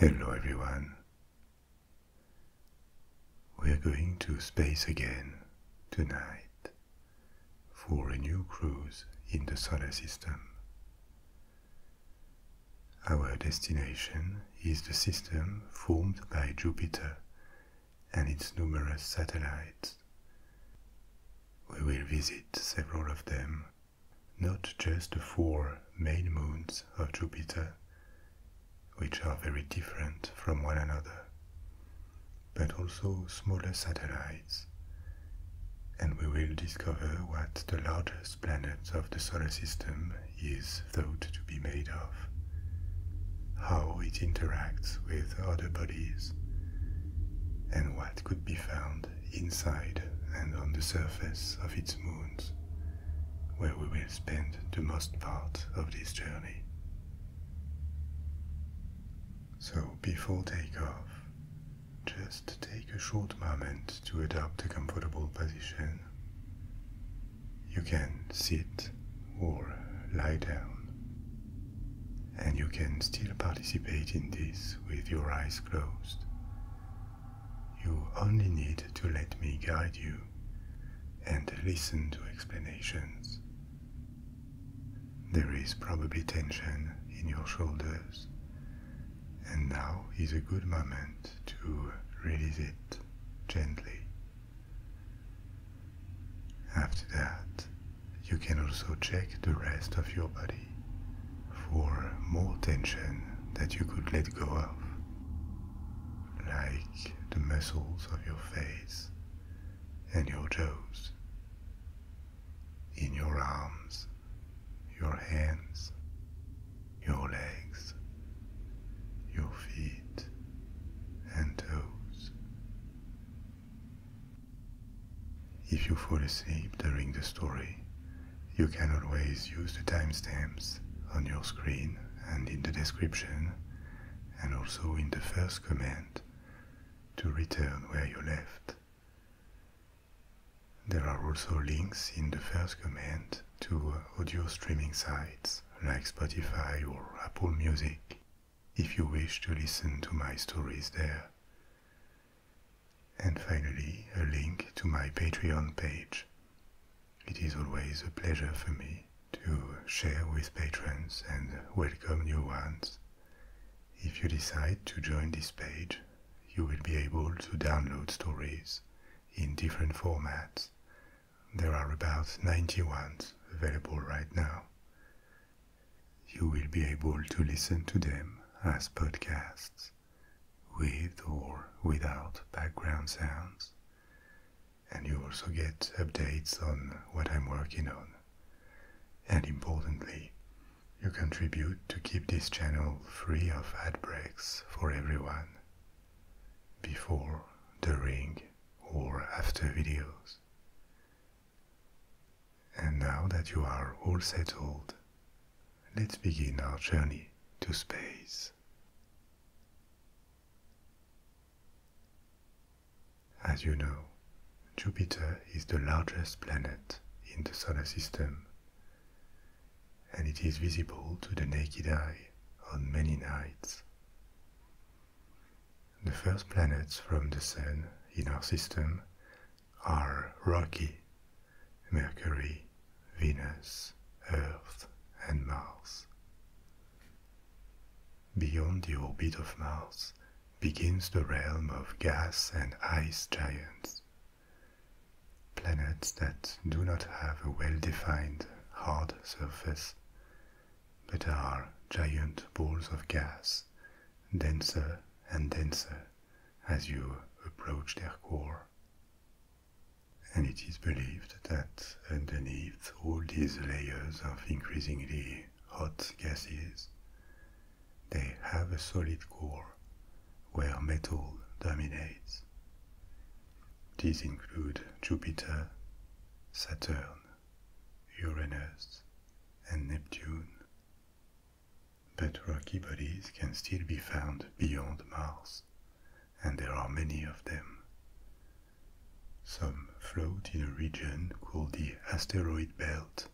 Hello everyone. We're going to space again tonight for a new cruise in the solar system. Our destination is the system formed by Jupiter and its numerous satellites. We will visit several of them not just the four main moons of Jupiter, which are very different from one another, but also smaller satellites. And we will discover what the largest planet of the solar system is thought to be made of, how it interacts with other bodies, and what could be found inside and on the surface of its moons, where we will spend the most part of this journey. So, before takeoff, just take a short moment to adopt a comfortable position. You can sit or lie down, and you can still participate in this with your eyes closed you only need to let me guide you and listen to explanations. There is probably tension in your shoulders, and now is a good moment to release it gently. After that, you can also check the rest of your body for more tension that you could let go of, like the muscles of your face and your jaws, in your arms, your hands, your legs, your feet and toes. If you fall asleep during the story, you can always use the timestamps on your screen and in the description, and also in the first comment, to return where you left. There are also links in the first comment to audio streaming sites like Spotify or Apple Music if you wish to listen to my stories there. And finally, a link to my Patreon page. It is always a pleasure for me to share with patrons and welcome new ones. If you decide to join this page, you will be able to download stories in different formats. There are about 90 ones available right now. You will be able to listen to them as podcasts with or without background sounds. And you also get updates on what I'm working on. And importantly, you contribute to keep this channel free of ad breaks for everyone before, during, or after videos. And now that you are all settled, let's begin our journey to space. As you know, Jupiter is the largest planet in the solar system, and it is visible to the naked eye on many nights. The first planets from the Sun in our system are rocky Mercury, Venus, Earth, and Mars. Beyond the orbit of Mars begins the realm of gas and ice giants, planets that do not have a well defined hard surface but are giant balls of gas, denser and denser as you approach their core. And it is believed that underneath all these layers of increasingly hot gases, they have a solid core where metal dominates. These include Jupiter, Saturn, Uranus, and Neptune but rocky bodies can still be found beyond Mars, and there are many of them. Some float in a region called the asteroid belt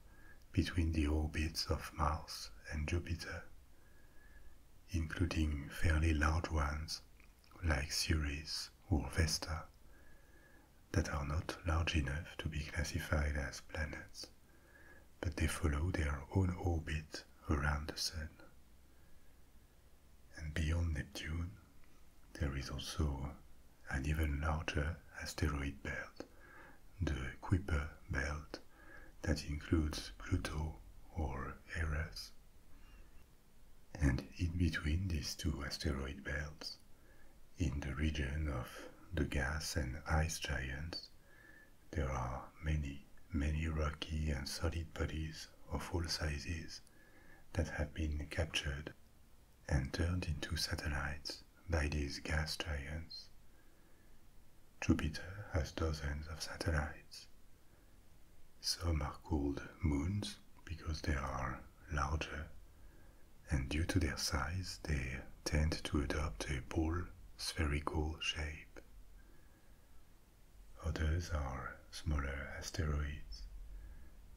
between the orbits of Mars and Jupiter, including fairly large ones like Ceres or Vesta that are not large enough to be classified as planets but they follow their own orbit around the Sun. And beyond Neptune, there is also an even larger asteroid belt, the Kuiper belt, that includes Pluto or Eris. And in between these two asteroid belts, in the region of the gas and ice giants, there are many, many rocky and solid bodies of all sizes that have been captured and turned into satellites by these gas giants. Jupiter has dozens of satellites. Some are called moons because they are larger, and due to their size, they tend to adopt a ball spherical shape Others are smaller asteroids,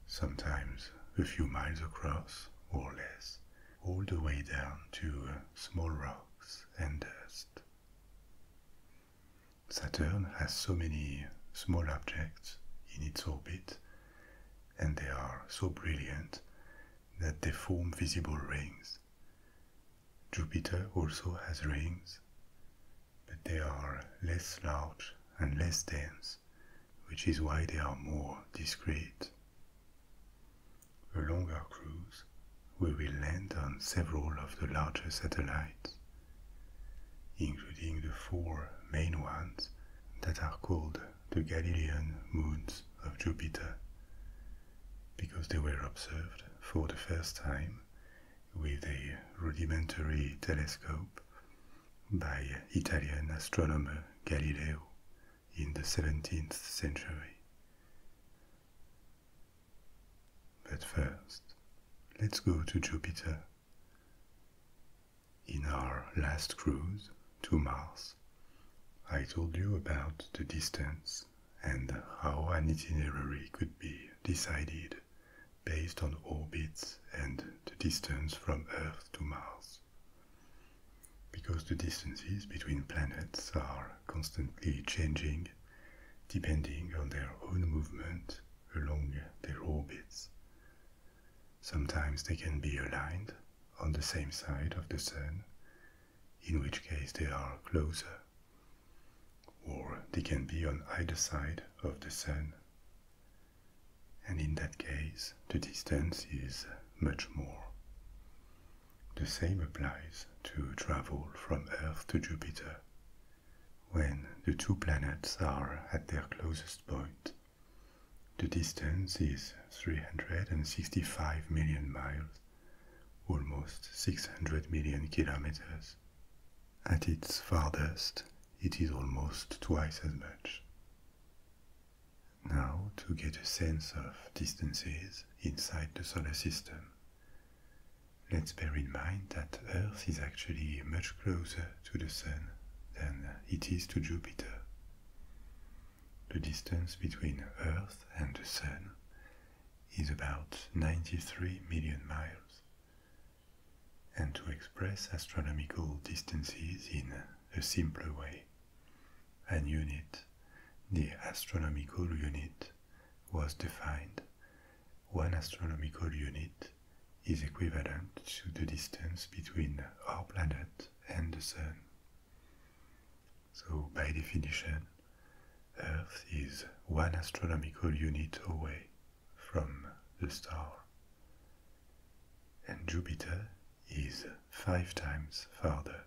sometimes a few miles across or less, all the way down to small rocks and dust. Saturn has so many small objects in its orbit, and they are so brilliant that they form visible rings. Jupiter also has rings, but they are less large and less dense, which is why they are more discreet. Along longer cruise, we will land on several of the larger satellites, including the four main ones that are called the Galilean moons of Jupiter, because they were observed for the first time with a rudimentary telescope by Italian astronomer Galileo in the 17th century. But first, let's go to Jupiter. In our last cruise to Mars, I told you about the distance and how an itinerary could be decided based on orbits and the distance from Earth to Mars. Because the distances between planets are constantly changing depending on their own movement along their orbits. Sometimes they can be aligned on the same side of the Sun, in which case they are closer or they can be on either side of the Sun. And in that case, the distance is much more. The same applies to travel from Earth to Jupiter. When the two planets are at their closest point, the distance is 365 million miles, almost 600 million kilometers. At its farthest, it is almost twice as much. Now, to get a sense of distances inside the solar system, let's bear in mind that Earth is actually much closer to the Sun than it is to Jupiter. The distance between Earth and the Sun is about 93 million miles. And to express astronomical distances in a simpler way, an unit, the astronomical unit, was defined. One astronomical unit is equivalent to the distance between our planet and the Sun. So by definition, Earth is one astronomical unit away from the star. And Jupiter is five times farther,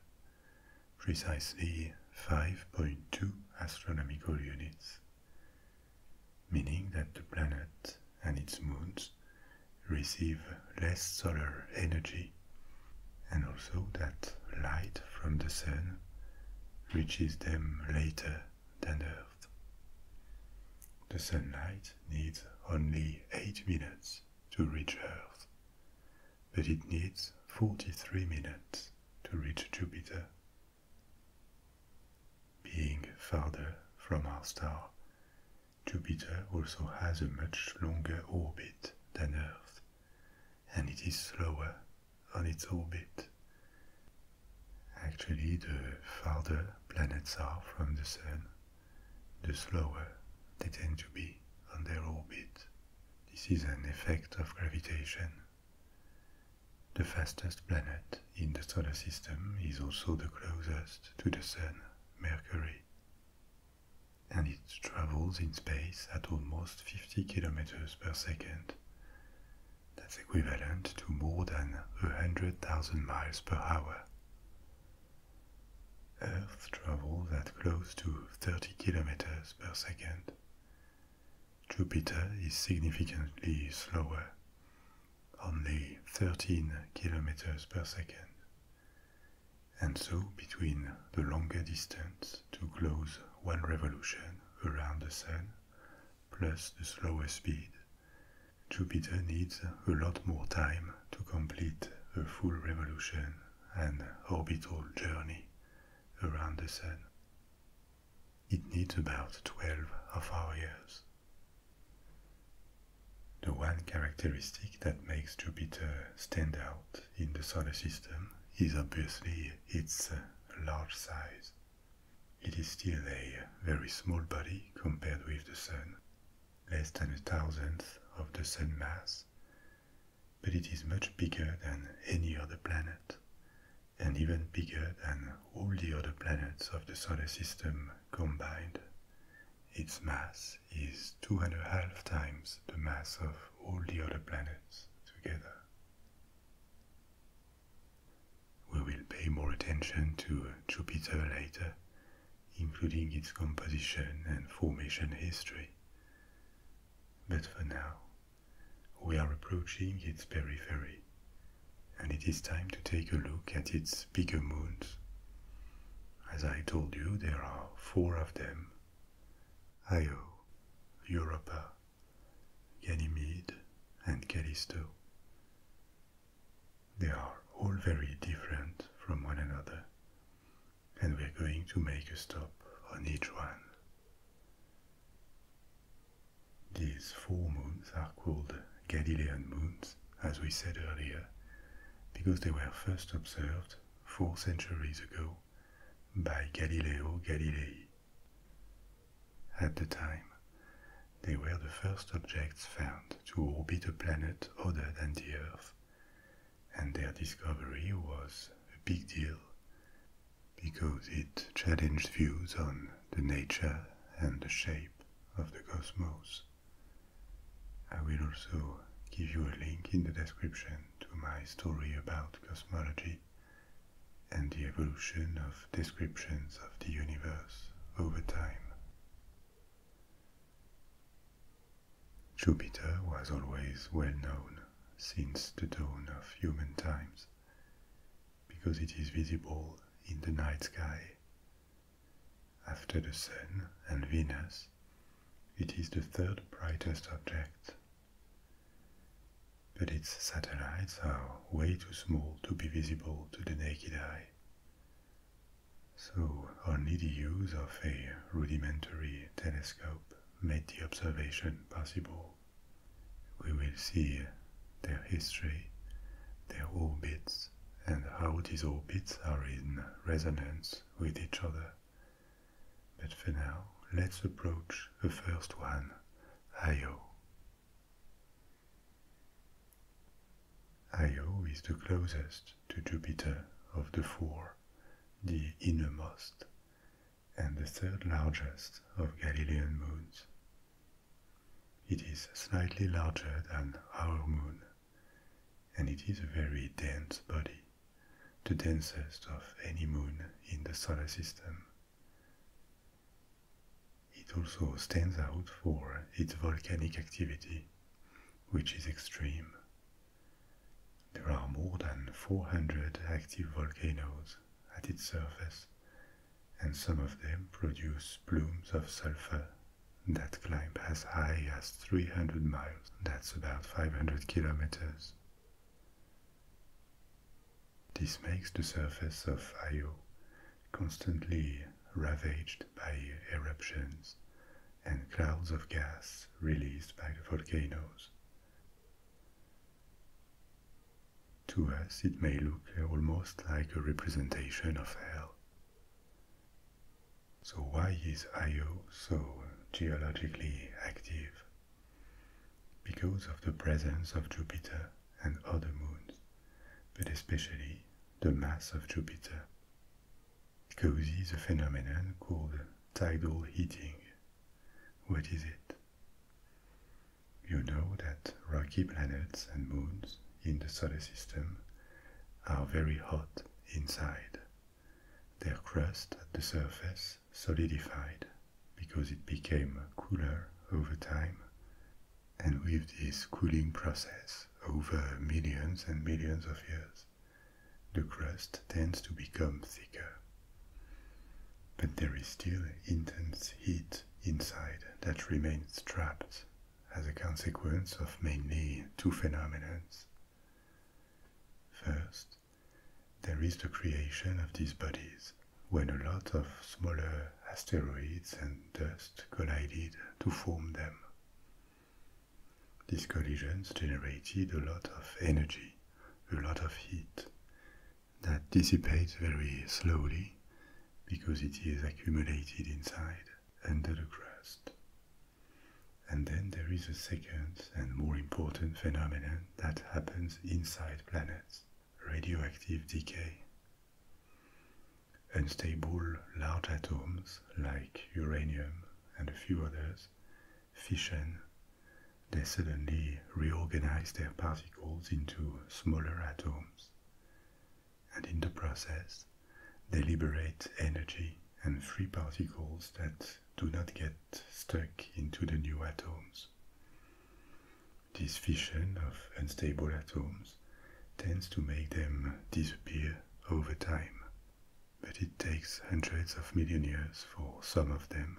precisely 5.2 astronomical units, meaning that the planet and its moons receive less solar energy and also that light from the sun reaches them later than Earth. The sunlight needs only 8 minutes to reach Earth, but it needs 43 minutes to reach Jupiter. Being farther from our star, Jupiter also has a much longer orbit than Earth, and it is slower on its orbit. Actually, the farther planets are from the Sun, the slower they tend to be on their orbit. This is an effect of gravitation. The fastest planet in the solar system is also the closest to the Sun, Mercury, and it travels in space at almost 50 kilometers per second. That's equivalent to more than 100,000 miles per hour. Earth travels at close to 30 kilometers per second. Jupiter is significantly slower, only 13 kilometers per second. And so, between the longer distance to close one revolution around the Sun, plus the slower speed, Jupiter needs a lot more time to complete a full revolution and orbital journey around the Sun. It needs about 12 of our years. The one characteristic that makes Jupiter stand out in the solar system is obviously its uh, large size. It is still a very small body compared with the Sun, less than a thousandth of the Sun mass, but it is much bigger than any other planet, and even bigger than all the other planets of the Solar System combined. Its mass is two and a half times the mass of all the other planets together. We will pay more attention to Jupiter later, including its composition and formation history. But for now, we are approaching its periphery, and it is time to take a look at its bigger moons. As I told you, there are four of them Io, Europa, Ganymede, and Callisto. They are all very different from one another, and we're going to make a stop on each one. These four moons are called Galilean moons, as we said earlier, because they were first observed four centuries ago by Galileo Galilei. At the time, they were the first objects found to orbit a planet other than the Earth, and their discovery was a big deal because it challenged views on the nature and the shape of the cosmos. I will also give you a link in the description to my story about cosmology and the evolution of descriptions of the universe over time. Jupiter was always well known since the dawn of human times because it is visible in the night sky. After the Sun and Venus, it is the third brightest object but its satellites are way too small to be visible to the naked eye. So only the use of a rudimentary telescope made the observation possible. We will see their history, their orbits, and how these orbits are in resonance with each other but for now, let's approach the first one, Io. Io is the closest to Jupiter of the four, the innermost, and the third largest of Galilean moons. It is slightly larger than our moon, and it is a very dense body, the densest of any moon in the solar system. It also stands out for its volcanic activity, which is extreme. There are more than 400 active volcanoes at its surface, and some of them produce plumes of sulfur that climb as high as 300 miles, that's about 500 kilometers. This makes the surface of Io constantly ravaged by eruptions and clouds of gas released by the volcanoes. To us, it may look almost like a representation of hell. So, why is Io so geologically active? because of the presence of Jupiter and other moons, but especially the mass of Jupiter. causes a phenomenon called tidal heating. What is it? You know that rocky planets and moons in the solar system are very hot inside. Their crust at the surface solidified because it became cooler over time. And with this cooling process over millions and millions of years, the crust tends to become thicker. But there is still intense heat inside that remains trapped as a consequence of mainly two phenomena. First, there is the creation of these bodies when a lot of smaller asteroids and dust collided to form them. These collisions generated a lot of energy, a lot of heat, that dissipates very slowly because it is accumulated inside under the crust. And then there is a second and more important phenomenon that happens inside planets radioactive decay. Unstable large atoms like uranium and a few others fission. They suddenly reorganize their particles into smaller atoms, and in the process, they liberate energy and free particles that do not get stuck into the new atoms. This fission of unstable atoms tends to make them disappear over time, but it takes hundreds of million years for some of them,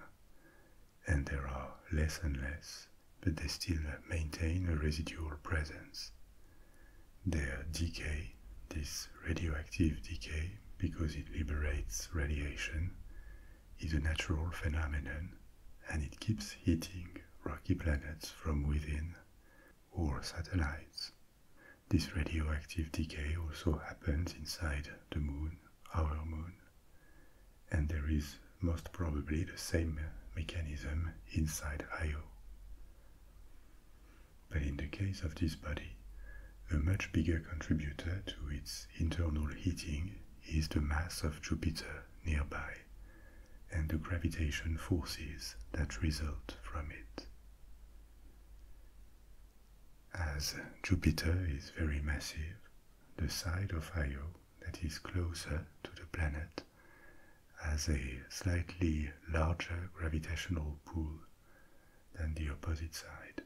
and there are less and less, but they still maintain a residual presence. Their decay, this radioactive decay, because it liberates radiation, is a natural phenomenon and it keeps hitting rocky planets from within or satellites. This radioactive decay also happens inside the moon, our moon, and there is most probably the same mechanism inside Io. But in the case of this body, a much bigger contributor to its internal heating is the mass of Jupiter nearby and the gravitational forces that result from it. As Jupiter is very massive, the side of Io that is closer to the planet has a slightly larger gravitational pull than the opposite side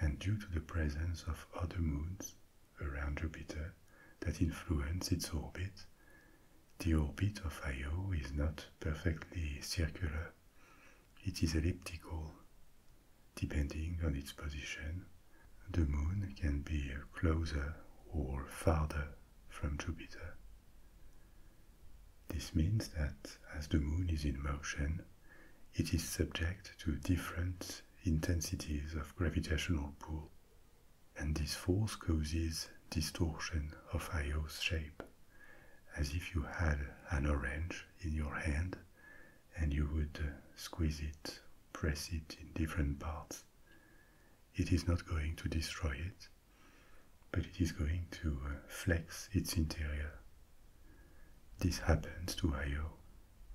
and due to the presence of other moons around Jupiter that influence its orbit, the orbit of Io is not perfectly circular, it is elliptical. Depending on its position, the moon can be closer or farther from Jupiter. This means that as the moon is in motion, it is subject to different intensities of gravitational pull, and this force causes distortion of Io's shape, as if you had an orange in your hand and you would uh, squeeze it, press it in different parts. It is not going to destroy it, but it is going to uh, flex its interior. This happens to Io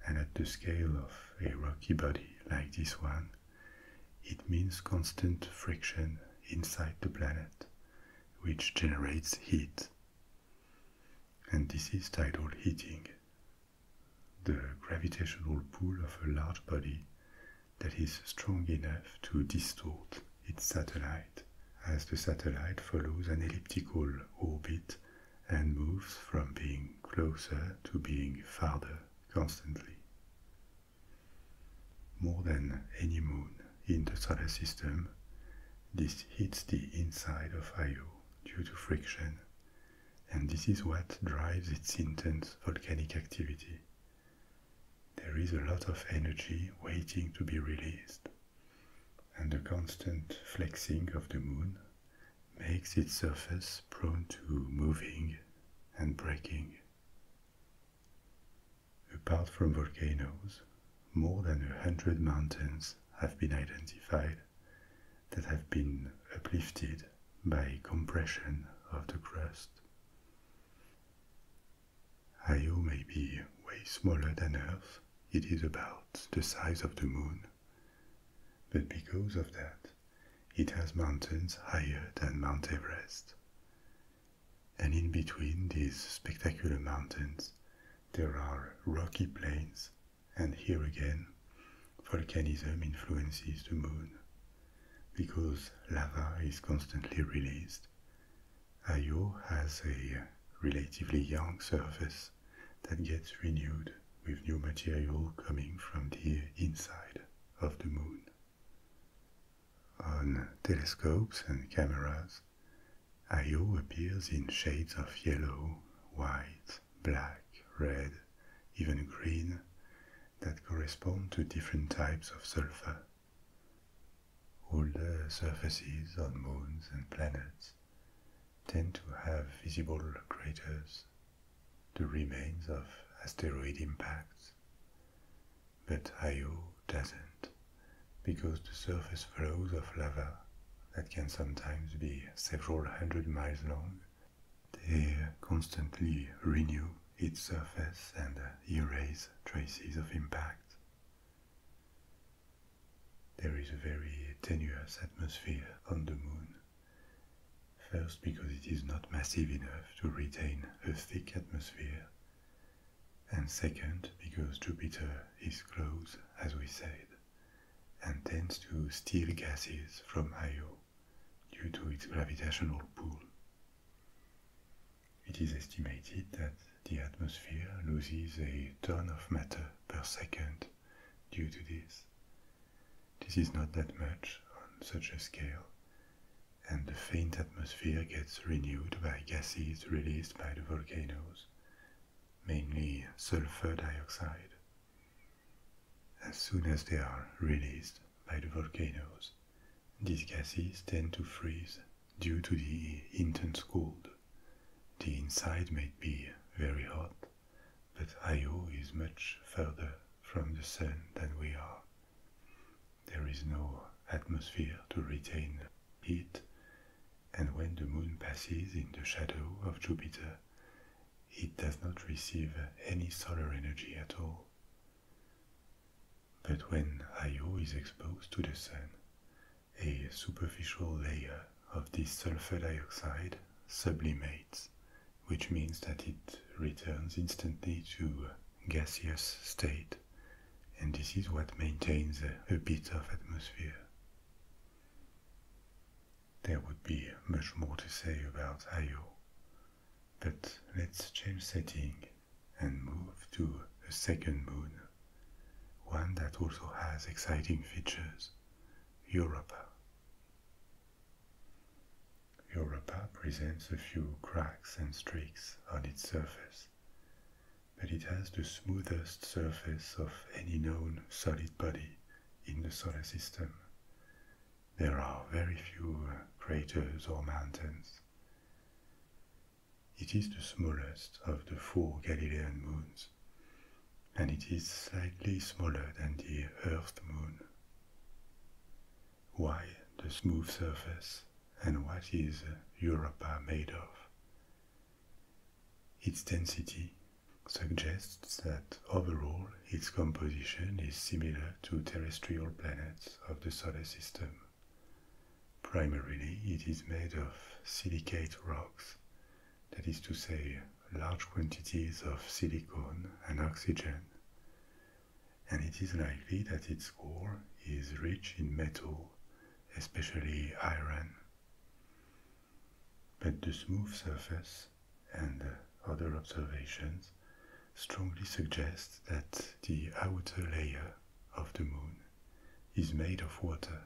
and at the scale of a rocky body like this one, it means constant friction inside the planet, which generates heat. And this is tidal heating, the gravitational pull of a large body that is strong enough to distort its satellite as the satellite follows an elliptical orbit and moves from being closer to being farther constantly. More than any moon in the solar system, this hits the inside of Io due to friction, and this is what drives its intense volcanic activity. There is a lot of energy waiting to be released, and the constant flexing of the moon makes its surface prone to moving and breaking. Apart from volcanoes, more than a hundred mountains have been identified that have been uplifted by compression of the crust. Io may be way smaller than Earth, it is about the size of the moon, but because of that, it has mountains higher than Mount Everest. And in between these spectacular mountains, there are rocky plains, and here again, volcanism influences the moon because lava is constantly released. Io has a relatively young surface that gets renewed with new material coming from the inside of the moon. On telescopes and cameras, Io appears in shades of yellow, white, black, red, even green that correspond to different types of sulfur. All the surfaces on moons and planets tend to have visible craters, the remains of asteroid impacts. But Io doesn't, because the surface flows of lava that can sometimes be several hundred miles long, they constantly renew its surface and erase traces of impact. There is a very tenuous atmosphere on the moon First, because it is not massive enough to retain a thick atmosphere, and second, because Jupiter is close, as we said, and tends to steal gases from Io due to its gravitational pull. It is estimated that the atmosphere loses a ton of matter per second due to this, this is not that much on such a scale, and the faint atmosphere gets renewed by gases released by the volcanoes, mainly sulfur dioxide. As soon as they are released by the volcanoes, these gases tend to freeze due to the intense cold. The inside may be very hot, but Io is much further from the Sun than we are. There is no atmosphere to retain heat, and when the Moon passes in the shadow of Jupiter, it does not receive any solar energy at all. But when Io is exposed to the Sun, a superficial layer of this sulfur dioxide sublimates, which means that it returns instantly to gaseous state, and this is what maintains a bit of atmosphere. There would be much more to say about Io, but let's change setting and move to a second moon, one that also has exciting features, Europa. Europa presents a few cracks and streaks on its surface, but it has the smoothest surface of any known solid body in the solar system. There are very few craters or mountains. It is the smallest of the four Galilean moons and it is slightly smaller than the Earth moon. Why the smooth surface and what is Europa made of? Its density suggests that overall its composition is similar to terrestrial planets of the solar system. Primarily, it is made of silicate rocks that is to say, large quantities of silicon and oxygen, and it is likely that its core is rich in metal, especially iron. But the smooth surface and other observations strongly suggest that the outer layer of the moon is made of water.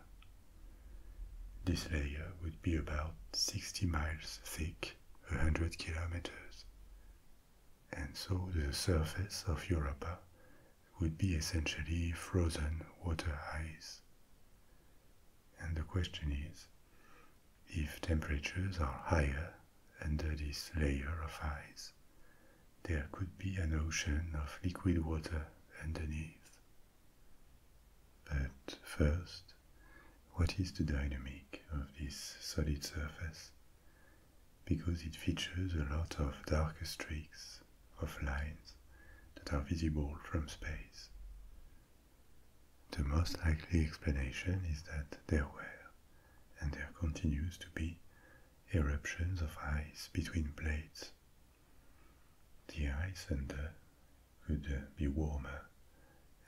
This layer would be about 60 miles thick a hundred kilometers. And so the surface of Europa would be essentially frozen water ice. And the question is, if temperatures are higher under this layer of ice, there could be an ocean of liquid water underneath. But first, what is the dynamic of this solid surface? Because it features a lot of darker streaks of lines that are visible from space. The most likely explanation is that there were, and there continues to be, eruptions of ice between plates. The ice under could be warmer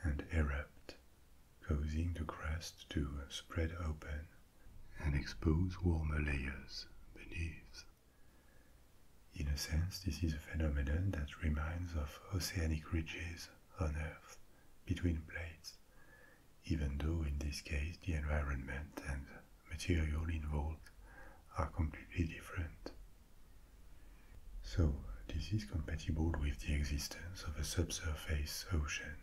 and erupt, causing the crust to spread open and expose warmer layers beneath. In a sense, this is a phenomenon that reminds of oceanic ridges on Earth between plates, even though in this case the environment and material involved are completely different. So, this is compatible with the existence of a subsurface ocean.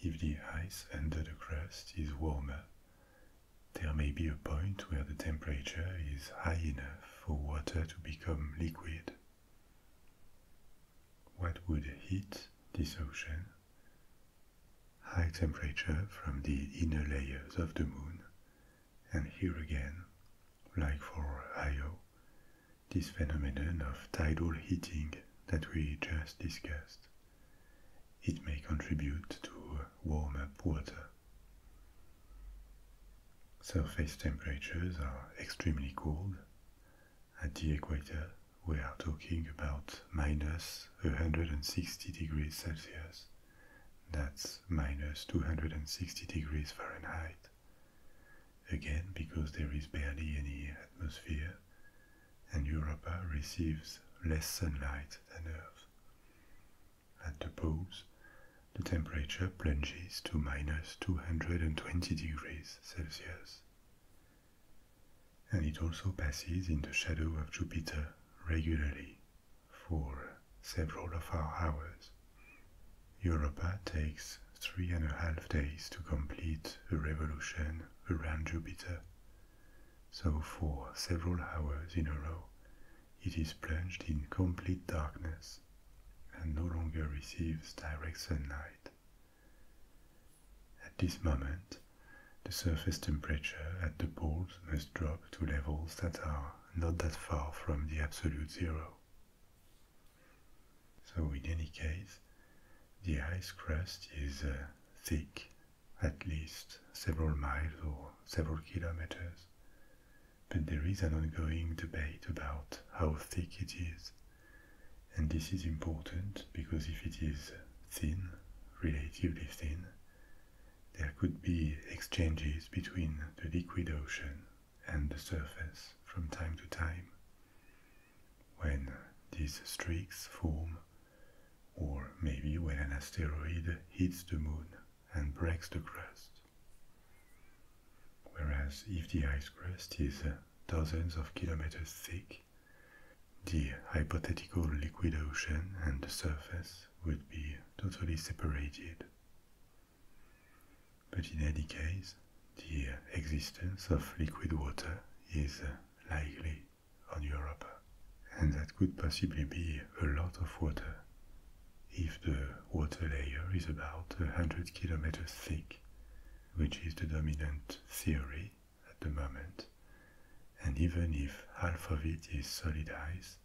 If the ice under the crust is warmer, there may be a point where the temperature is high enough for water to become liquid. What would heat this ocean? High temperature from the inner layers of the moon, and here again, like for Io, this phenomenon of tidal heating that we just discussed. It may contribute to warm up water. Surface temperatures are extremely cold. At the equator, we are talking about minus 160 degrees Celsius, that's minus 260 degrees Fahrenheit, Again, because there is barely any atmosphere, and Europa receives less sunlight than Earth. At the poles, the temperature plunges to minus 220 degrees Celsius. And it also passes in the shadow of Jupiter regularly for several of our hours. Europa takes three and a half days to complete a revolution around Jupiter. So, for several hours in a row, it is plunged in complete darkness and no longer receives direct sunlight. At this moment, the surface temperature at the poles must drop to levels that are not that far from the absolute zero. So in any case, the ice crust is uh, thick, at least several miles or several kilometers, but there is an ongoing debate about how thick it is. And this is important because if it is thin, relatively thin, there could be exchanges between the liquid ocean and the surface from time to time. When these streaks form, or maybe when an asteroid hits the moon and breaks the crust. Whereas if the ice crust is uh, dozens of kilometers thick, the hypothetical liquid ocean and the surface would be totally separated. But in any case, the existence of liquid water is likely on Europe, and that could possibly be a lot of water if the water layer is about 100 kilometers thick, which is the dominant theory at the moment. And even if half of it is solid ice,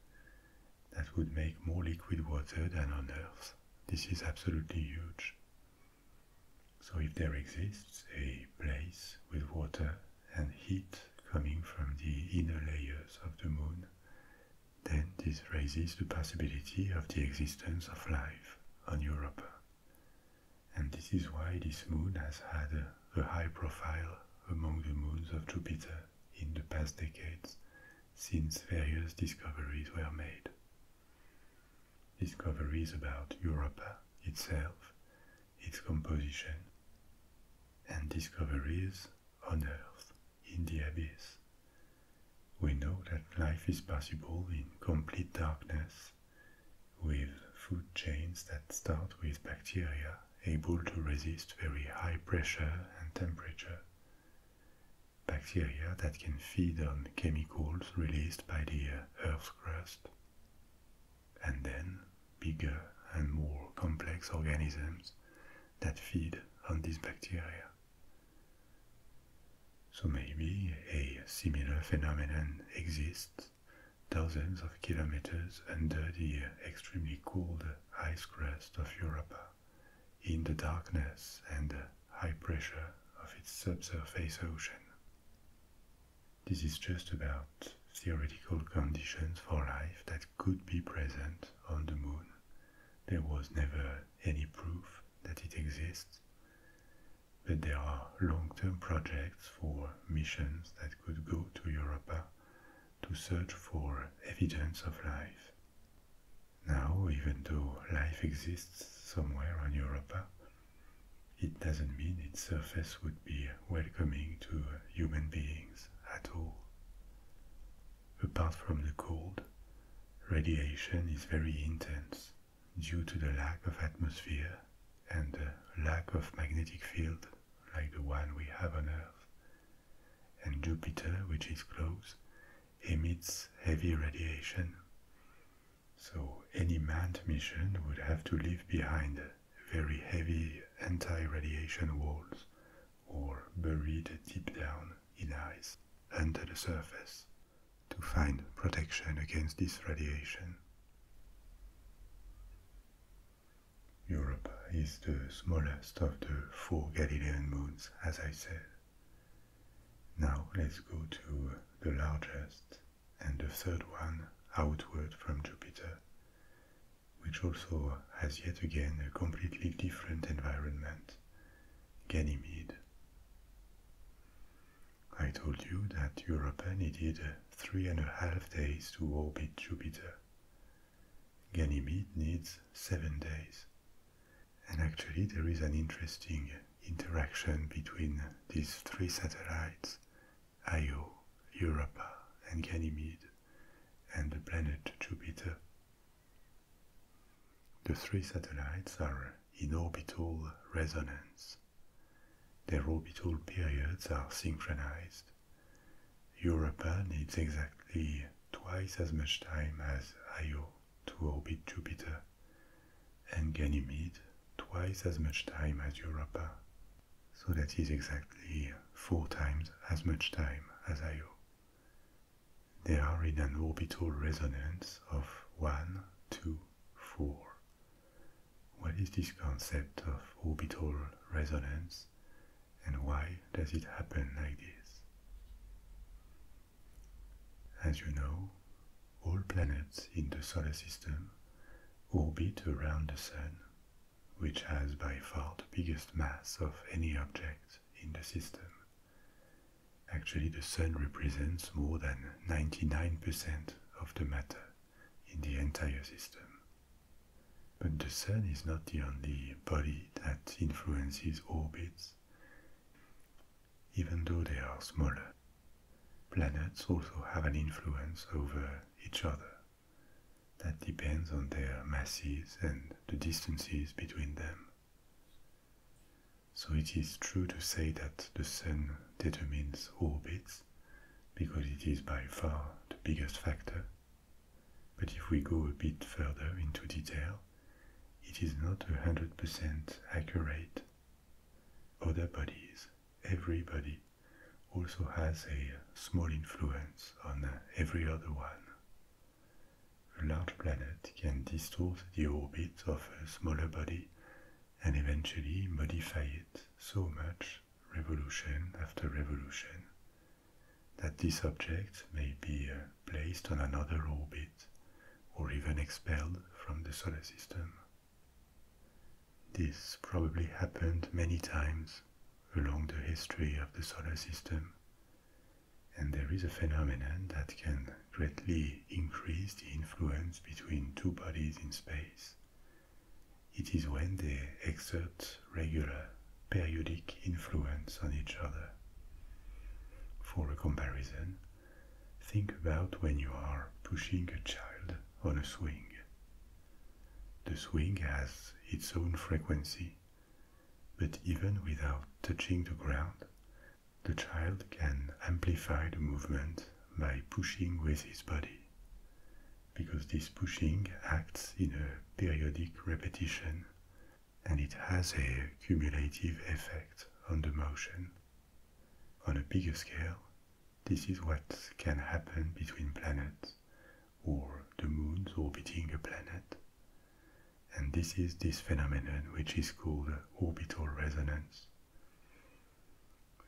that would make more liquid water than on Earth this is absolutely huge. So, if there exists a place with water and heat coming from the inner layers of the moon, then this raises the possibility of the existence of life on Europa. And this is why this moon has had a, a high profile among the moons of Jupiter in the past decades, since various discoveries were made discoveries about Europa itself, its composition, and discoveries on Earth in the abyss. We know that life is possible in complete darkness with food chains that start with bacteria able to resist very high pressure and temperature bacteria that can feed on chemicals released by the uh, Earth's crust. And then bigger and more complex organisms that feed on these bacteria. So maybe a similar phenomenon exists thousands of kilometers under the extremely cold ice crust of Europa, in the darkness and uh, high pressure of its subsurface ocean. This is just about theoretical conditions for life that could be present on the moon. There was never any proof that it exists, but there are long-term projects for missions that could go to Europa to search for evidence of life now, even though life exists somewhere on Europa, it doesn't mean its surface would be welcoming to human beings at all. Apart from the cold, radiation is very intense due to the lack of atmosphere and the lack of magnetic field like the one we have on Earth. And Jupiter, which is close, emits heavy radiation. So, any manned mission would have to leave behind very heavy anti radiation walls or buried deep down in ice under the surface to find protection against this radiation. Europe is the smallest of the four Galilean moons, as I said, now let's go to the largest and the third one outward from Jupiter, which also has yet again a completely different environment, Ganymede. I told you that Europa needed three and a half days to orbit Jupiter. Ganymede needs seven days and actually, there is an interesting interaction between these three satellites Io, Europa, and Ganymede, and the planet Jupiter. The three satellites are in orbital resonance. Their orbital periods are synchronized. Europa needs exactly twice as much time as Io to orbit Jupiter and Ganymede twice as much time as Europa, so that is exactly four times as much time as Io. They are in an orbital resonance of 1, 2, 4. What is this concept of orbital resonance and why does it happen like this? As you know, all planets in the solar system orbit around the Sun, which has by far the biggest mass of any object in the system. Actually, the Sun represents more than 99% of the matter in the entire system. But the Sun is not the only body that influences orbits even though they are smaller. Planets also have an influence over each other that depends on their masses and the distances between them. So it is true to say that the Sun determines orbits because it is by far the biggest factor. But if we go a bit further into detail, it is not 100% accurate. Other bodies, every body, also has a small influence on every other one. A large planet can distort the orbit of a smaller body and eventually modify it so much, revolution after revolution, that this object may be uh, placed on another orbit or even expelled from the solar system. This probably happened many times along the history of the solar system, and there is a phenomenon that can greatly increase the influence between two bodies in space. It is when they exert regular, periodic influence on each other. For a comparison, Think about when you are pushing a child on a swing. The swing has its own frequency, but even without touching the ground, the child can amplify the movement by pushing with his body, because this pushing acts in a periodic repetition and it has a cumulative effect on the motion. On a bigger scale, this is what can happen between planets or the moons orbiting a planet. And this is this phenomenon which is called orbital resonance.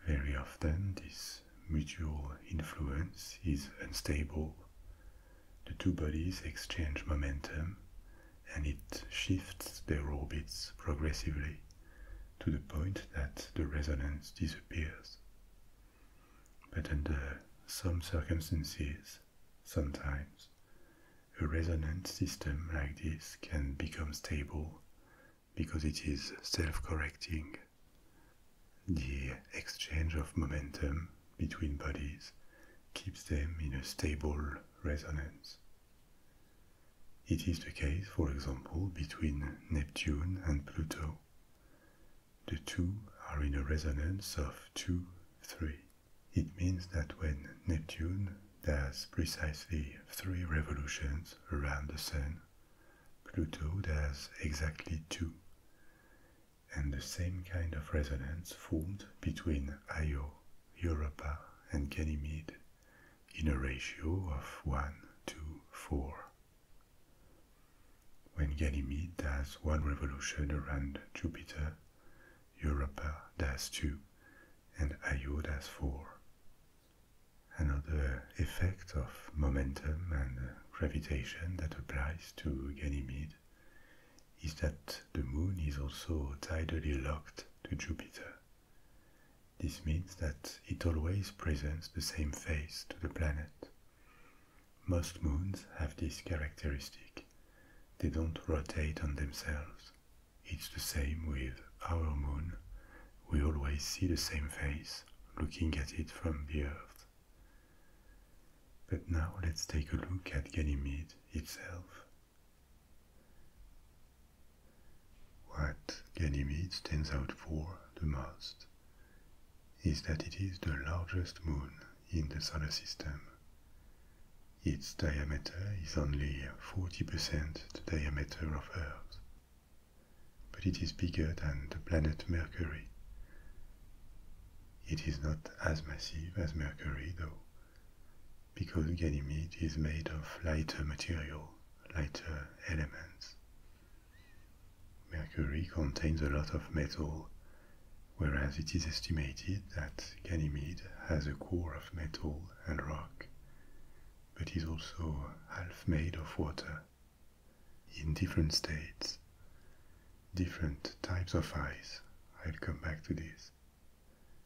Very often, this mutual influence is unstable. The two bodies exchange momentum and it shifts their orbits progressively to the point that the resonance disappears. But under some circumstances, sometimes, a resonant system like this can become stable because it is self-correcting. The exchange of momentum between bodies keeps them in a stable resonance. It is the case, for example, between Neptune and Pluto. The two are in a resonance of 2 3. It means that when Neptune does precisely three revolutions around the Sun, Pluto does exactly two. And the same kind of resonance formed between Io, Europa, and Ganymede in a ratio of 1 to 4. When Ganymede does one revolution around Jupiter, Europa does two, and Io does four. Another effect of momentum and gravitation that applies to Ganymede is that the Moon is also tidally locked to Jupiter. This means that it always presents the same face to the planet. Most moons have this characteristic. They don't rotate on themselves. It's the same with our moon. We always see the same face looking at it from the Earth. But now let's take a look at Ganymede itself. What Ganymede stands out for the most is that it is the largest moon in the solar system. Its diameter is only 40% the diameter of Earth, but it is bigger than the planet Mercury. It is not as massive as Mercury, though, because Ganymede is made of lighter material, lighter elements. Mercury contains a lot of metal, whereas it is estimated that Ganymede has a core of metal and rock, but is also half made of water. In different states, different types of ice, I'll come back to this,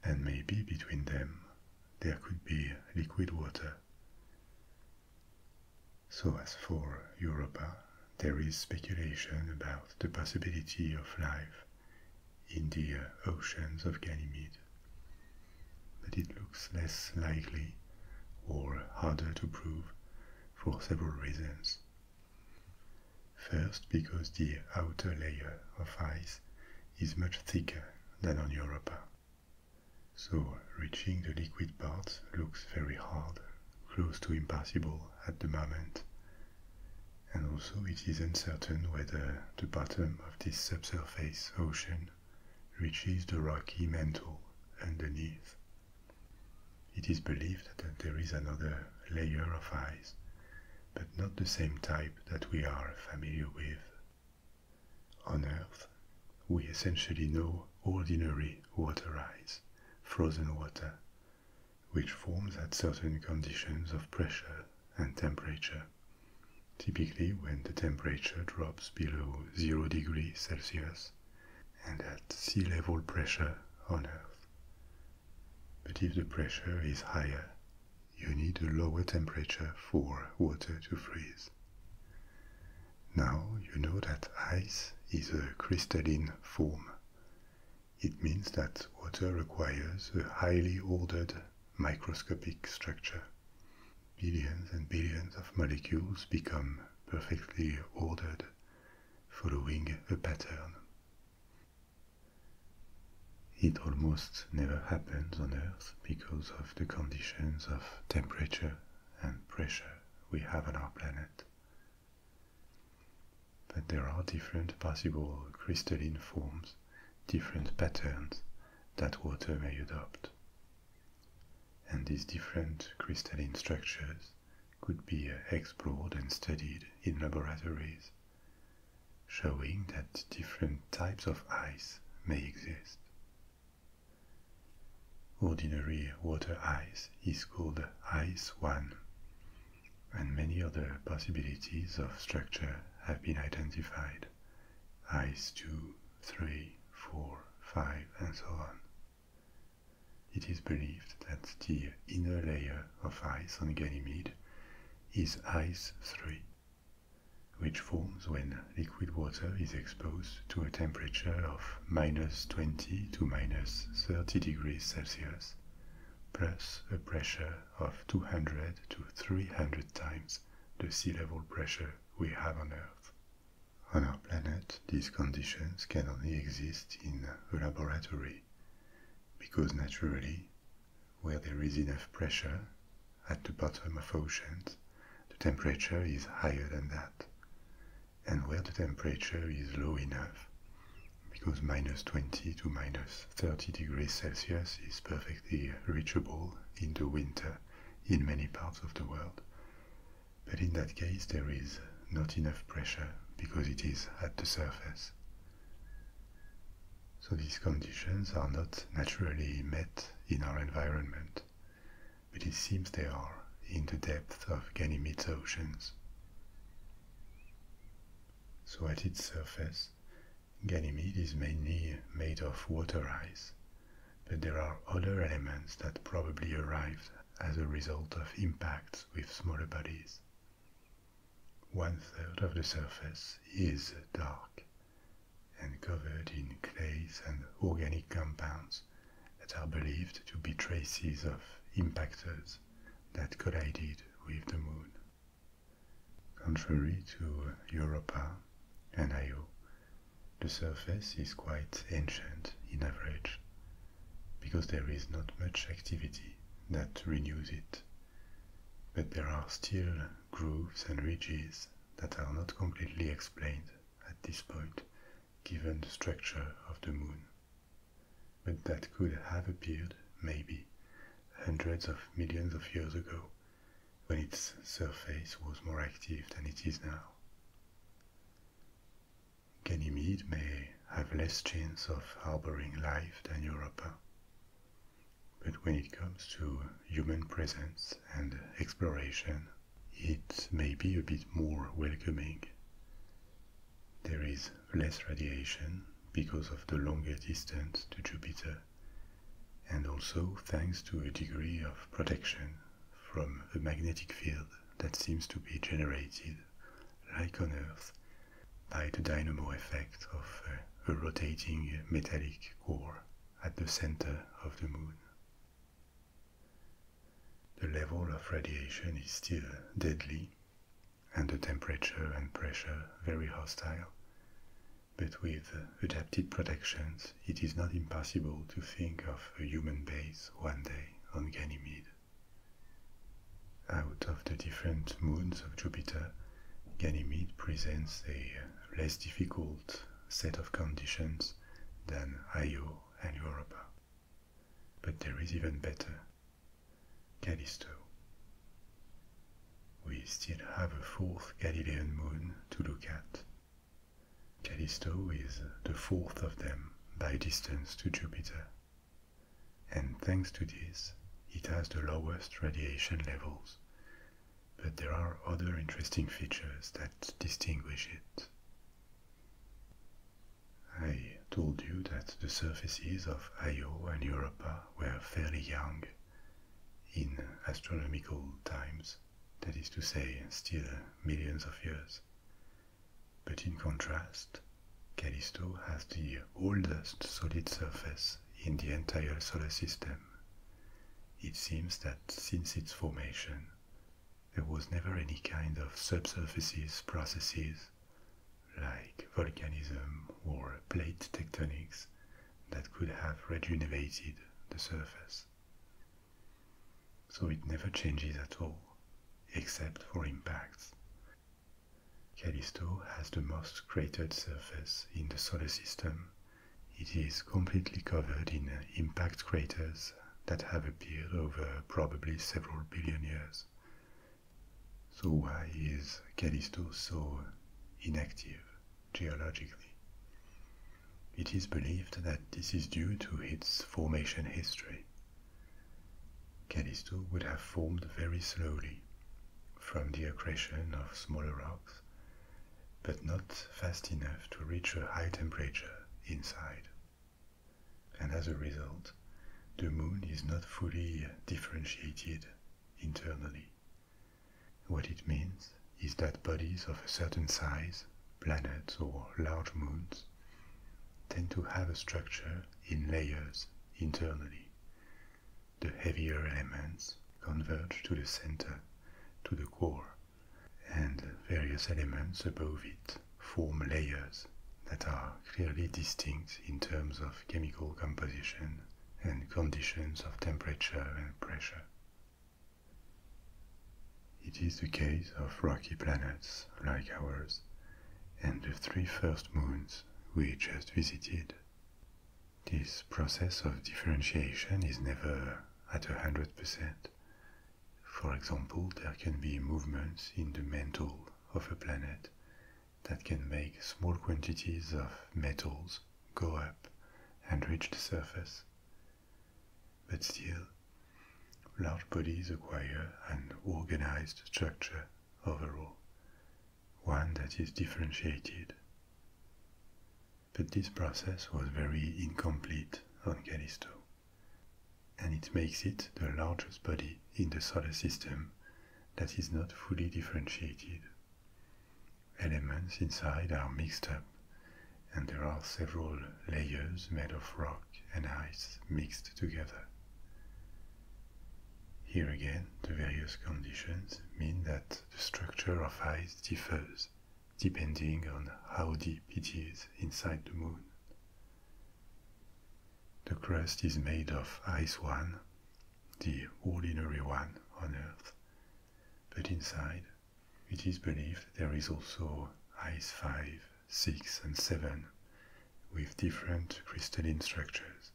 and maybe between them there could be liquid water. So, as for Europa, there is speculation about the possibility of life in the uh, oceans of Ganymede, but it looks less likely or harder to prove for several reasons. First, because the outer layer of ice is much thicker than on Europa. So reaching the liquid parts looks very hard, close to impossible at the moment, and also it is uncertain whether the bottom of this subsurface ocean reaches the rocky mantle underneath. It is believed that there is another layer of ice, but not the same type that we are familiar with on Earth, we essentially know ordinary water ice, frozen water, which forms at certain conditions of pressure and temperature, typically when the temperature drops below zero degrees Celsius and at sea level pressure on Earth. But if the pressure is higher, you need a lower temperature for water to freeze. Now you know that ice is a crystalline form. It means that water requires a highly ordered microscopic structure. Billions and billions of molecules become perfectly ordered, following a pattern. It almost never happens on Earth because of the conditions of temperature and pressure we have on our planet. But there are different possible crystalline forms, different patterns that water may adopt. And these different crystalline structures could be explored and studied in laboratories showing that different types of ice may exist. Ordinary water ice is called ice 1, and many other possibilities of structure have been identified ice 2, 3, 4, 5, and so on. It is believed that the inner layer of ice on Ganymede is ice 3 which forms when liquid water is exposed to a temperature of minus 20 to minus 30 degrees Celsius, plus a pressure of 200 to 300 times the sea level pressure we have on Earth. On our planet, these conditions can only exist in a laboratory, because naturally, where there is enough pressure at the bottom of oceans, the temperature is higher than that. And where the temperature is low enough, because minus 20 to minus 30 degrees Celsius is perfectly reachable in the winter in many parts of the world. But in that case, there is not enough pressure because it is at the surface so these conditions are not naturally met in our environment, but it seems they are in the depths of Ganymede's oceans. So at its surface, Ganymede is mainly made of water ice, but there are other elements that probably arrived as a result of impacts with smaller bodies. One third of the surface is dark, and covered in clays and organic compounds that are believed to be traces of impactors that collided with the moon. Contrary to Europa and Io, the surface is quite ancient in average because there is not much activity that renews it. But there are still grooves and ridges that are not completely explained at this point, given the structure of the moon, but that could have appeared, maybe, hundreds of millions of years ago, when its surface was more active than it is now. Ganymede may have less chance of harboring life than Europa, but when it comes to human presence and exploration, it may be a bit more welcoming. There is less radiation because of the longer distance to Jupiter, and also thanks to a degree of protection from a magnetic field that seems to be generated, like on Earth, by the dynamo effect of a rotating metallic core at the center of the moon. The level of radiation is still deadly, and the temperature and pressure very hostile, but with adapted protections, it is not impossible to think of a human base one day on Ganymede. Out of the different moons of Jupiter, Ganymede presents a less difficult set of conditions than Io and Europa. But there is even better Callisto. We still have a fourth Galilean moon to look at. Callisto is the fourth of them by distance to Jupiter, and thanks to this, it has the lowest radiation levels but there are other interesting features that distinguish it. I told you that the surfaces of Io and Europa were fairly young in astronomical times, that is to say, still millions of years. But in contrast, Callisto has the oldest solid surface in the entire solar system, it seems that since its formation, there was never any kind of subsurface processes like volcanism or plate tectonics that could have rejuvenated the surface. So it never changes at all, except for impacts. Callisto has the most cratered surface in the solar system it is completely covered in uh, impact craters that have appeared over probably several billion years. So, why is Callisto so inactive geologically? It is believed that this is due to its formation history. Callisto would have formed very slowly from the accretion of smaller rocks but not fast enough to reach a high temperature inside. And as a result, the moon is not fully differentiated internally. What it means is that bodies of a certain size, planets or large moons, tend to have a structure in layers internally. The heavier elements converge to the center, to the core, and various elements above it form layers that are clearly distinct in terms of chemical composition and conditions of temperature and pressure. It is the case of rocky planets like ours and the three first moons we just visited. This process of differentiation is never at 100%. For example, there can be movements in the mantle of a planet that can make small quantities of metals go up and reach the surface. But still, large bodies acquire an organized structure overall, one that is differentiated but this process was very incomplete on Callisto, and it makes it the largest body in the solar system that is not fully differentiated. Elements inside are mixed up, and there are several layers made of rock and ice mixed together. Here again, the various conditions mean that the structure of ice differs depending on how deep it is inside the moon. The crust is made of ice one, the ordinary one on Earth, but inside it is believed there is also ice 5, 6 and 7 with different crystalline structures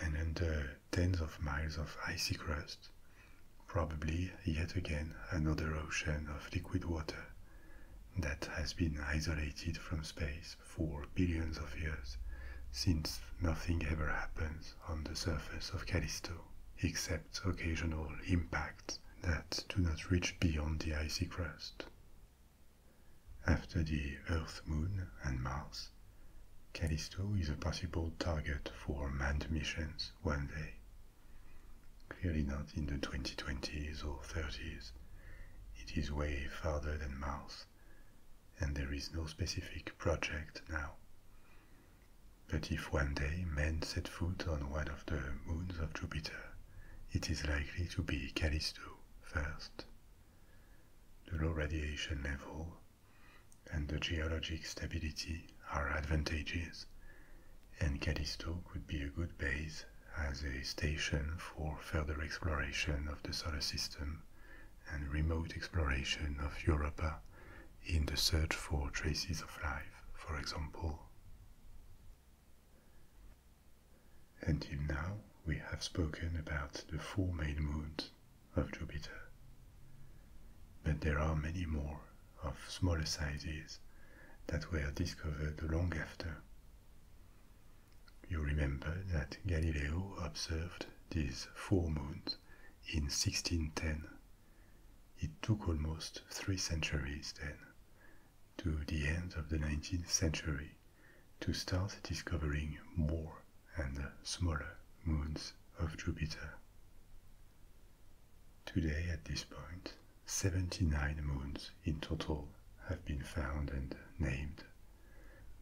and under tens of miles of icy crust, probably yet again another ocean of liquid water that has been isolated from space for billions of years since nothing ever happens on the surface of Callisto except occasional impacts that do not reach beyond the icy crust. After the Earth, Moon, and Mars, Callisto is a possible target for manned missions one day. Clearly not in the 2020s or 30s. It is way farther than Mars, and there is no specific project now. But if one day men set foot on one of the moons of Jupiter, it is likely to be Callisto first. The low radiation level and the geologic stability are advantages, and Callisto would be a good base as a station for further exploration of the solar system and remote exploration of Europa in the search for traces of life, for example. Until now, we have spoken about the four main moons of Jupiter. But there are many more of smaller sizes that were discovered long after. You remember that Galileo observed these four moons in 1610. It took almost three centuries then, to the end of the 19th century, to start discovering more and smaller moons of Jupiter. Today, at this point, 79 moons in total have been found and named.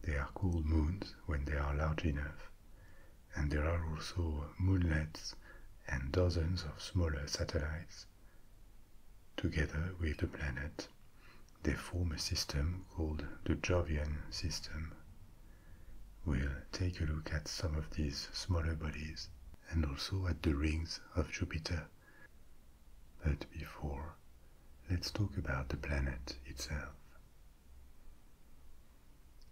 They are called moons when they are large enough, and there are also moonlets and dozens of smaller satellites. Together with the planet, they form a system called the Jovian system, We'll take a look at some of these smaller bodies and also at the rings of Jupiter. But before, let's talk about the planet itself.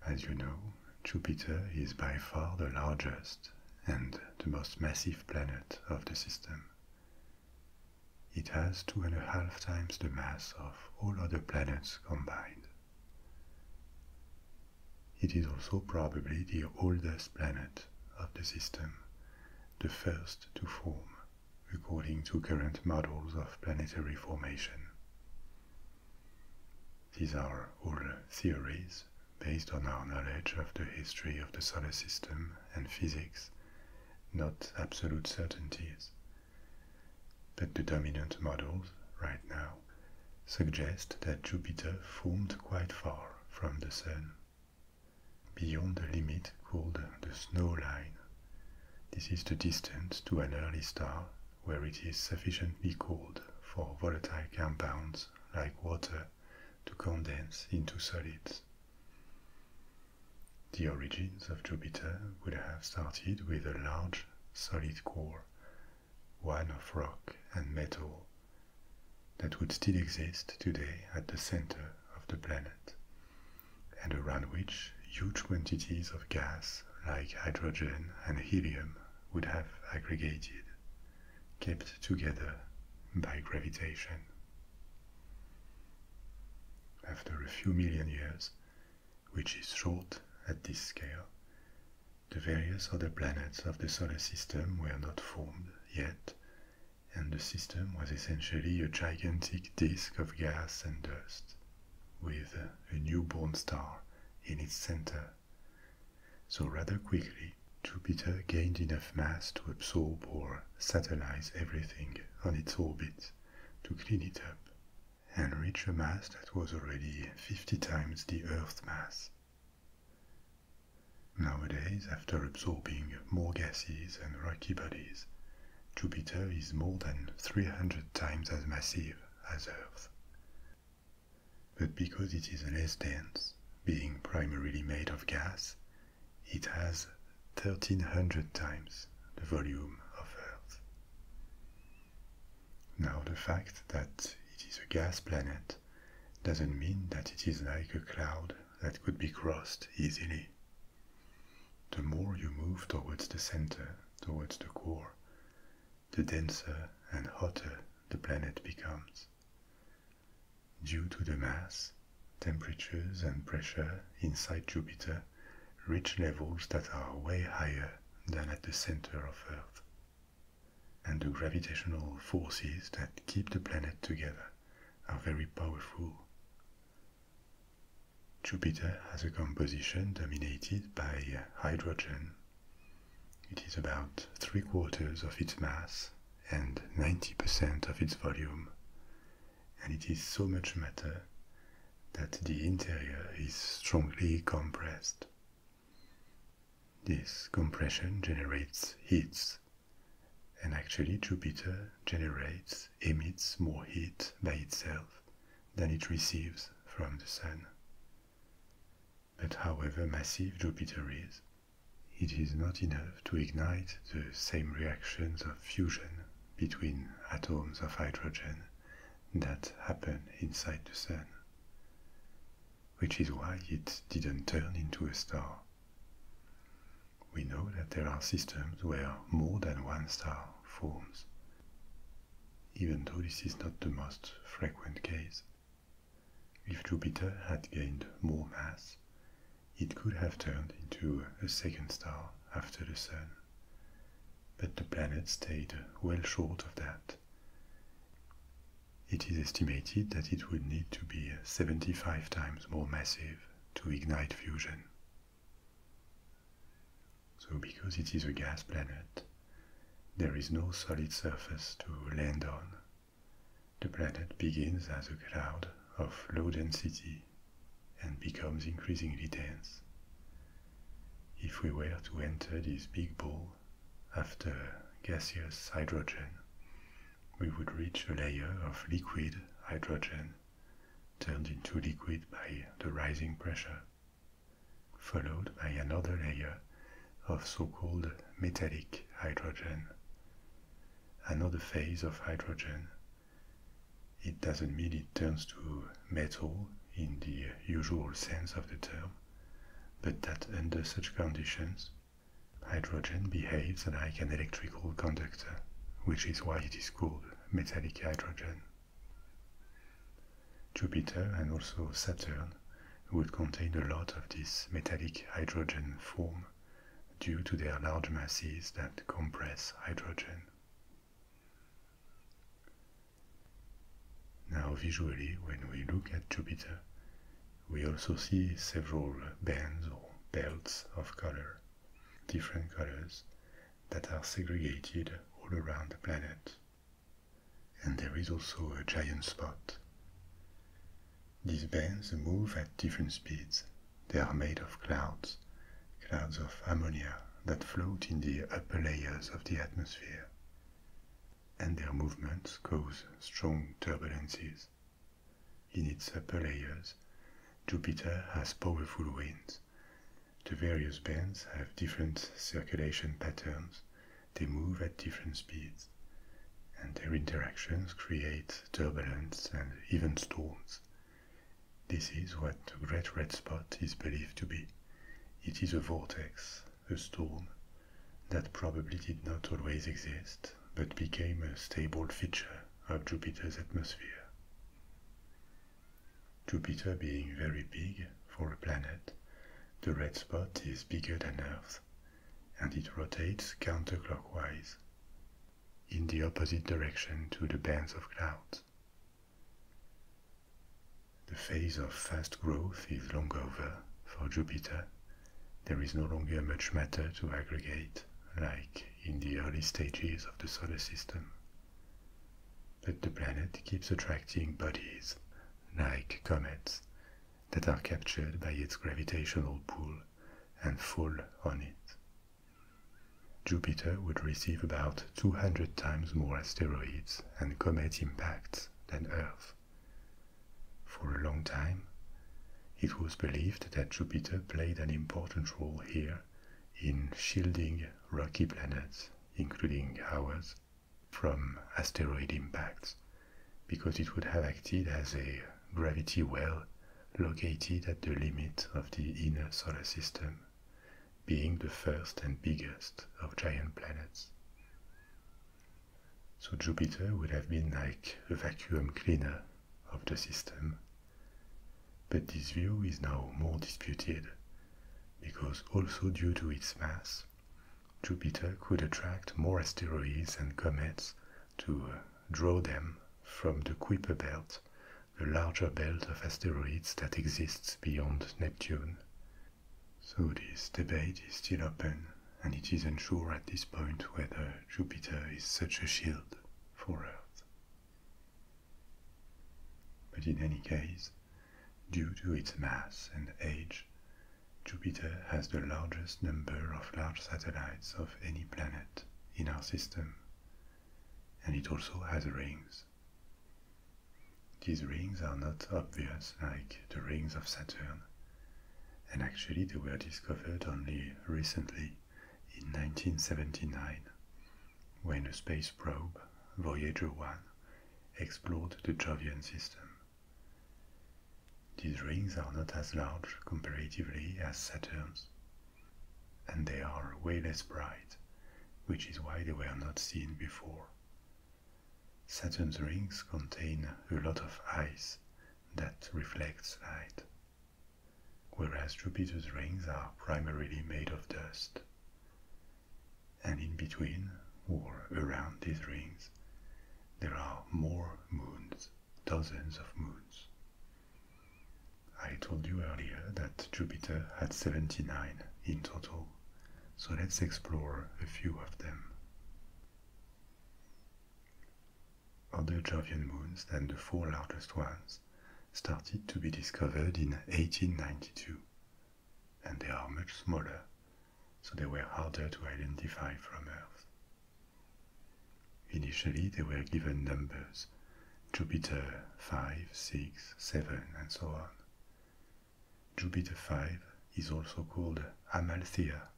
As you know, Jupiter is by far the largest and the most massive planet of the system. It has two and a half times the mass of all other planets combined. It is also probably the oldest planet of the system, the first to form, according to current models of planetary formation. These are all theories based on our knowledge of the history of the solar system and physics, not absolute certainties, but the dominant models right now suggest that Jupiter formed quite far from the Sun, beyond the limit called the snow line. This is the distance to an early star where it is sufficiently cold for volatile compounds like water to condense into solids. The origins of Jupiter would have started with a large solid core one of rock and metal, that would still exist today at the center of the planet, and around which huge quantities of gas like hydrogen and helium would have aggregated, kept together by gravitation. After a few million years, which is short at this scale, the various other planets of the solar system were not formed yet, and the system was essentially a gigantic disk of gas and dust, with a newborn star in its center. So rather quickly, Jupiter gained enough mass to absorb or satellize everything on its orbit to clean it up and reach a mass that was already 50 times the Earth's mass. Nowadays, after absorbing more gases and rocky bodies, Jupiter is more than 300 times as massive as Earth. But because it is less dense, being primarily made of gas, it has 1300 times the volume of Earth. Now, the fact that it is a gas planet doesn't mean that it is like a cloud that could be crossed easily. The more you move towards the center, towards the core, the denser and hotter the planet becomes. Due to the mass, temperatures and pressure inside Jupiter reach levels that are way higher than at the center of Earth and the gravitational forces that keep the planet together are very powerful. Jupiter has a composition dominated by hydrogen. It is about three quarters of its mass and 90% of its volume, and it is so much matter that the interior is strongly compressed, this compression generates heat, and actually Jupiter generates, emits more heat by itself than it receives from the Sun. But however massive Jupiter is, it is not enough to ignite the same reactions of fusion between atoms of hydrogen that happen inside the Sun which is why it didn't turn into a star. We know that there are systems where more than one star forms, even though this is not the most frequent case. If Jupiter had gained more mass, it could have turned into a second star after the Sun, but the planet stayed well short of that. It is estimated that it would need to be 75 times more massive to ignite fusion. So, because it is a gas planet, there is no solid surface to land on. The planet begins as a cloud of low density and becomes increasingly dense. If we were to enter this big ball, after gaseous hydrogen, we would reach a layer of liquid hydrogen turned into liquid by the rising pressure, followed by another layer of so-called metallic hydrogen. Another phase of hydrogen. It doesn't mean it turns to metal in the usual sense of the term, but that under such conditions, hydrogen behaves like an electrical conductor, which is why it is called metallic hydrogen. Jupiter and also Saturn would contain a lot of this metallic hydrogen form due to their large masses that compress hydrogen. Now, visually, when we look at Jupiter, we also see several bands or belts of color, different colors, that are segregated all around the planet. And there is also a giant spot. These bands move at different speeds. They are made of clouds, clouds of ammonia that float in the upper layers of the atmosphere and their movements cause strong turbulences. In its upper layers, Jupiter has powerful winds. The various bands have different circulation patterns, they move at different speeds, and their interactions create turbulence and even storms. This is what the Great Red Spot is believed to be. It is a vortex a storm that probably did not always exist but became a stable feature of Jupiter's atmosphere. Jupiter being very big for a planet, the red spot is bigger than Earth and it rotates counterclockwise in the opposite direction to the bands of clouds. The phase of fast growth is long over for Jupiter. There is no longer much matter to aggregate, like in the early stages of the solar system. But the planet keeps attracting bodies, like comets, that are captured by its gravitational pull and fall on it. Jupiter would receive about 200 times more asteroids and comet impacts than Earth. For a long time, it was believed that Jupiter played an important role here in shielding rocky planets, including ours, from asteroid impacts, because it would have acted as a gravity well located at the limit of the inner solar system, being the first and biggest of giant planets. So Jupiter would have been like a vacuum cleaner of the system. But this view is now more disputed, because also due to its mass, Jupiter could attract more asteroids and comets to uh, draw them from the Kuiper belt, the larger belt of asteroids that exists beyond Neptune, so this debate is still open, and it is unsure at this point whether Jupiter is such a shield for Earth. But in any case, due to its mass and age, Jupiter has the largest number of large satellites of any planet in our system, and it also has rings. These rings are not obvious like the rings of Saturn, and actually they were discovered only recently in 1979 when a space probe, Voyager 1, explored the Jovian system. These rings are not as large comparatively as Saturn's, and they are way less bright, which is why they were not seen before. Saturn's rings contain a lot of ice that reflects light, whereas Jupiter's rings are primarily made of dust. And in between, or around these rings, there are more moons, dozens of moons. I told you earlier that Jupiter had 79 in total so let's explore a few of them. Other Jovian moons than the four largest ones started to be discovered in 1892, and they are much smaller, so they were harder to identify from Earth. Initially, they were given numbers Jupiter 5, 6, 7, and so on. Jupiter 5 is also called Amalthea,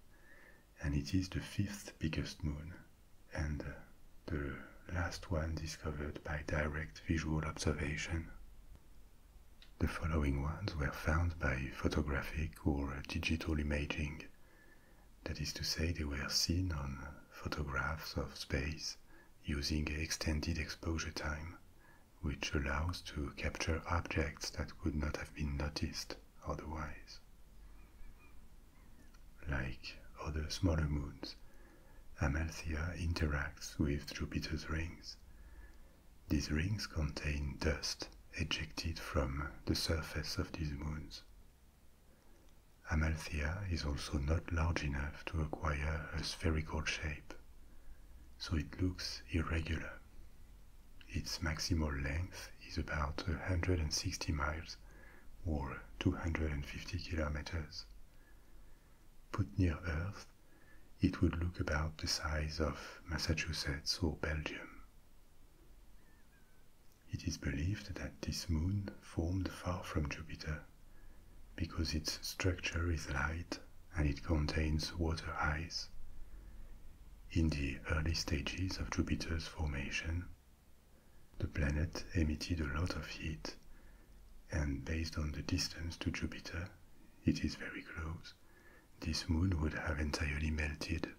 and it is the fifth biggest moon and the last one discovered by direct visual observation. The following ones were found by photographic or digital imaging. That is to say, they were seen on photographs of space using extended exposure time which allows to capture objects that could not have been noticed otherwise. Like other smaller moons, Amalthea interacts with Jupiter's rings. These rings contain dust ejected from the surface of these moons. Amalthea is also not large enough to acquire a spherical shape, so it looks irregular. Its maximal length is about 160 miles or 250 kilometers. Put near Earth, it would look about the size of Massachusetts or Belgium. It is believed that this moon formed far from Jupiter because its structure is light and it contains water ice in the early stages of Jupiter's formation. The planet emitted a lot of heat, and based on the distance to Jupiter, it is very close, this moon would have entirely melted.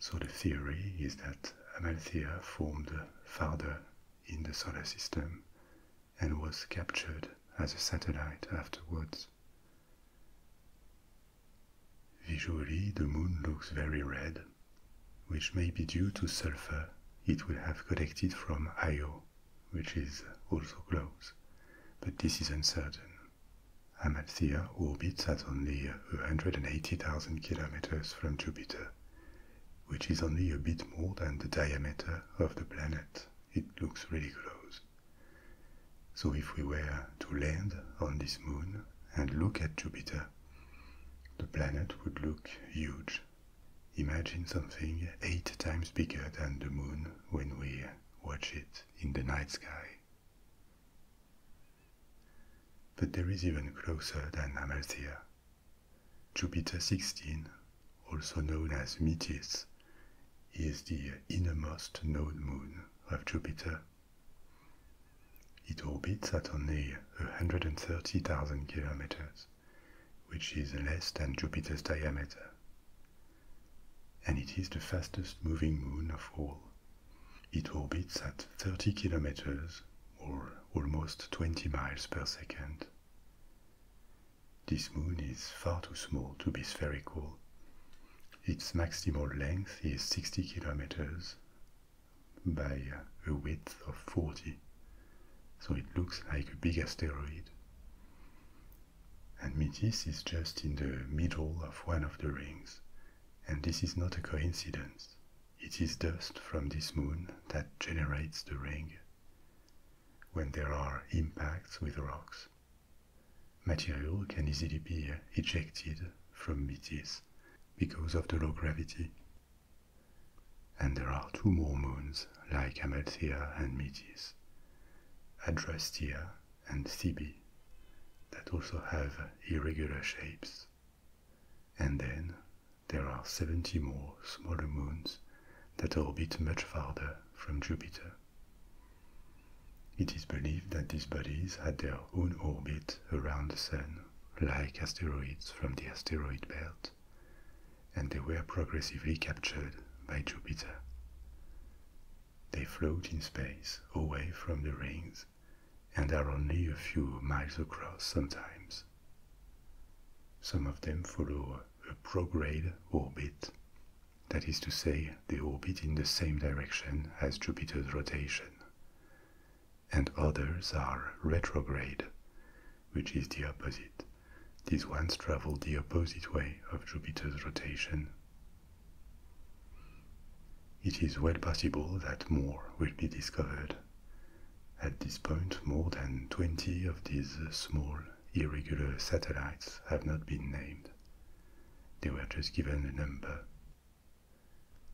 So the theory is that Amalthea formed farther in the solar system and was captured as a satellite afterwards, Visually, the moon looks very red, which may be due to sulfur it would have collected from Io, which is also close, but this is uncertain. Amalthea orbits at only 180,000 kilometers from Jupiter, which is only a bit more than the diameter of the planet. It looks really close. So, if we were to land on this moon and look at Jupiter, the planet would look huge. Imagine something eight times bigger than the moon when we watch it in the night sky. But there is even closer than Amalthea. Jupiter 16, also known as Metis, is the innermost known moon of Jupiter. It orbits at only 130,000 kilometers, which is less than Jupiter's diameter. And it is the fastest moving moon of all. It orbits at 30 kilometers or almost 20 miles per second. This moon is far too small to be spherical, its maximal length is 60 kilometers by a width of 40, so it looks like a big asteroid. And Metis is just in the middle of one of the rings, and this is not a coincidence. It is dust from this moon that generates the ring when there are impacts with rocks, Material can easily be ejected from Metis because of the low gravity. And there are two more moons like Amalthea and Metis, Adrastea and Thebe, that also have irregular shapes. And then there are 70 more smaller moons that orbit much farther from Jupiter. It is believed that these bodies had their own orbit around the Sun, like asteroids from the asteroid belt, and they were progressively captured by Jupiter. They float in space away from the rings and are only a few miles across sometimes. Some of them follow a prograde orbit that is to say, they orbit in the same direction as Jupiter's rotation. And others are retrograde, which is the opposite. These ones travel the opposite way of Jupiter's rotation. It is well possible that more will be discovered. At this point, more than 20 of these small irregular satellites have not been named, they were just given a number.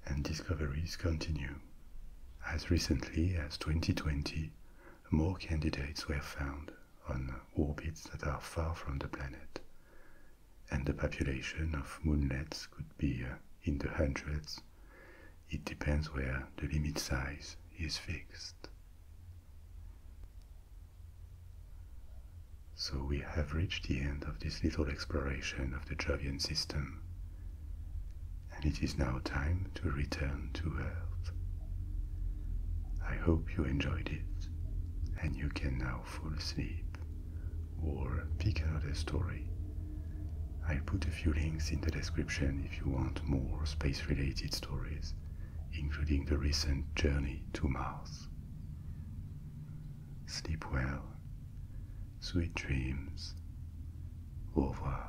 And discoveries continue. As recently as 2020, more candidates were found on orbits that are far from the planet, and the population of moonlets could be uh, in the hundreds. It depends where the limit size is fixed. So we have reached the end of this little exploration of the Jovian system, and it is now time to return to Earth. I hope you enjoyed it, and you can now fall asleep or pick out a story. I'll put a few links in the description if you want more space related stories, including the recent journey to Mars. Sleep well. Sweet dreams. Au revoir.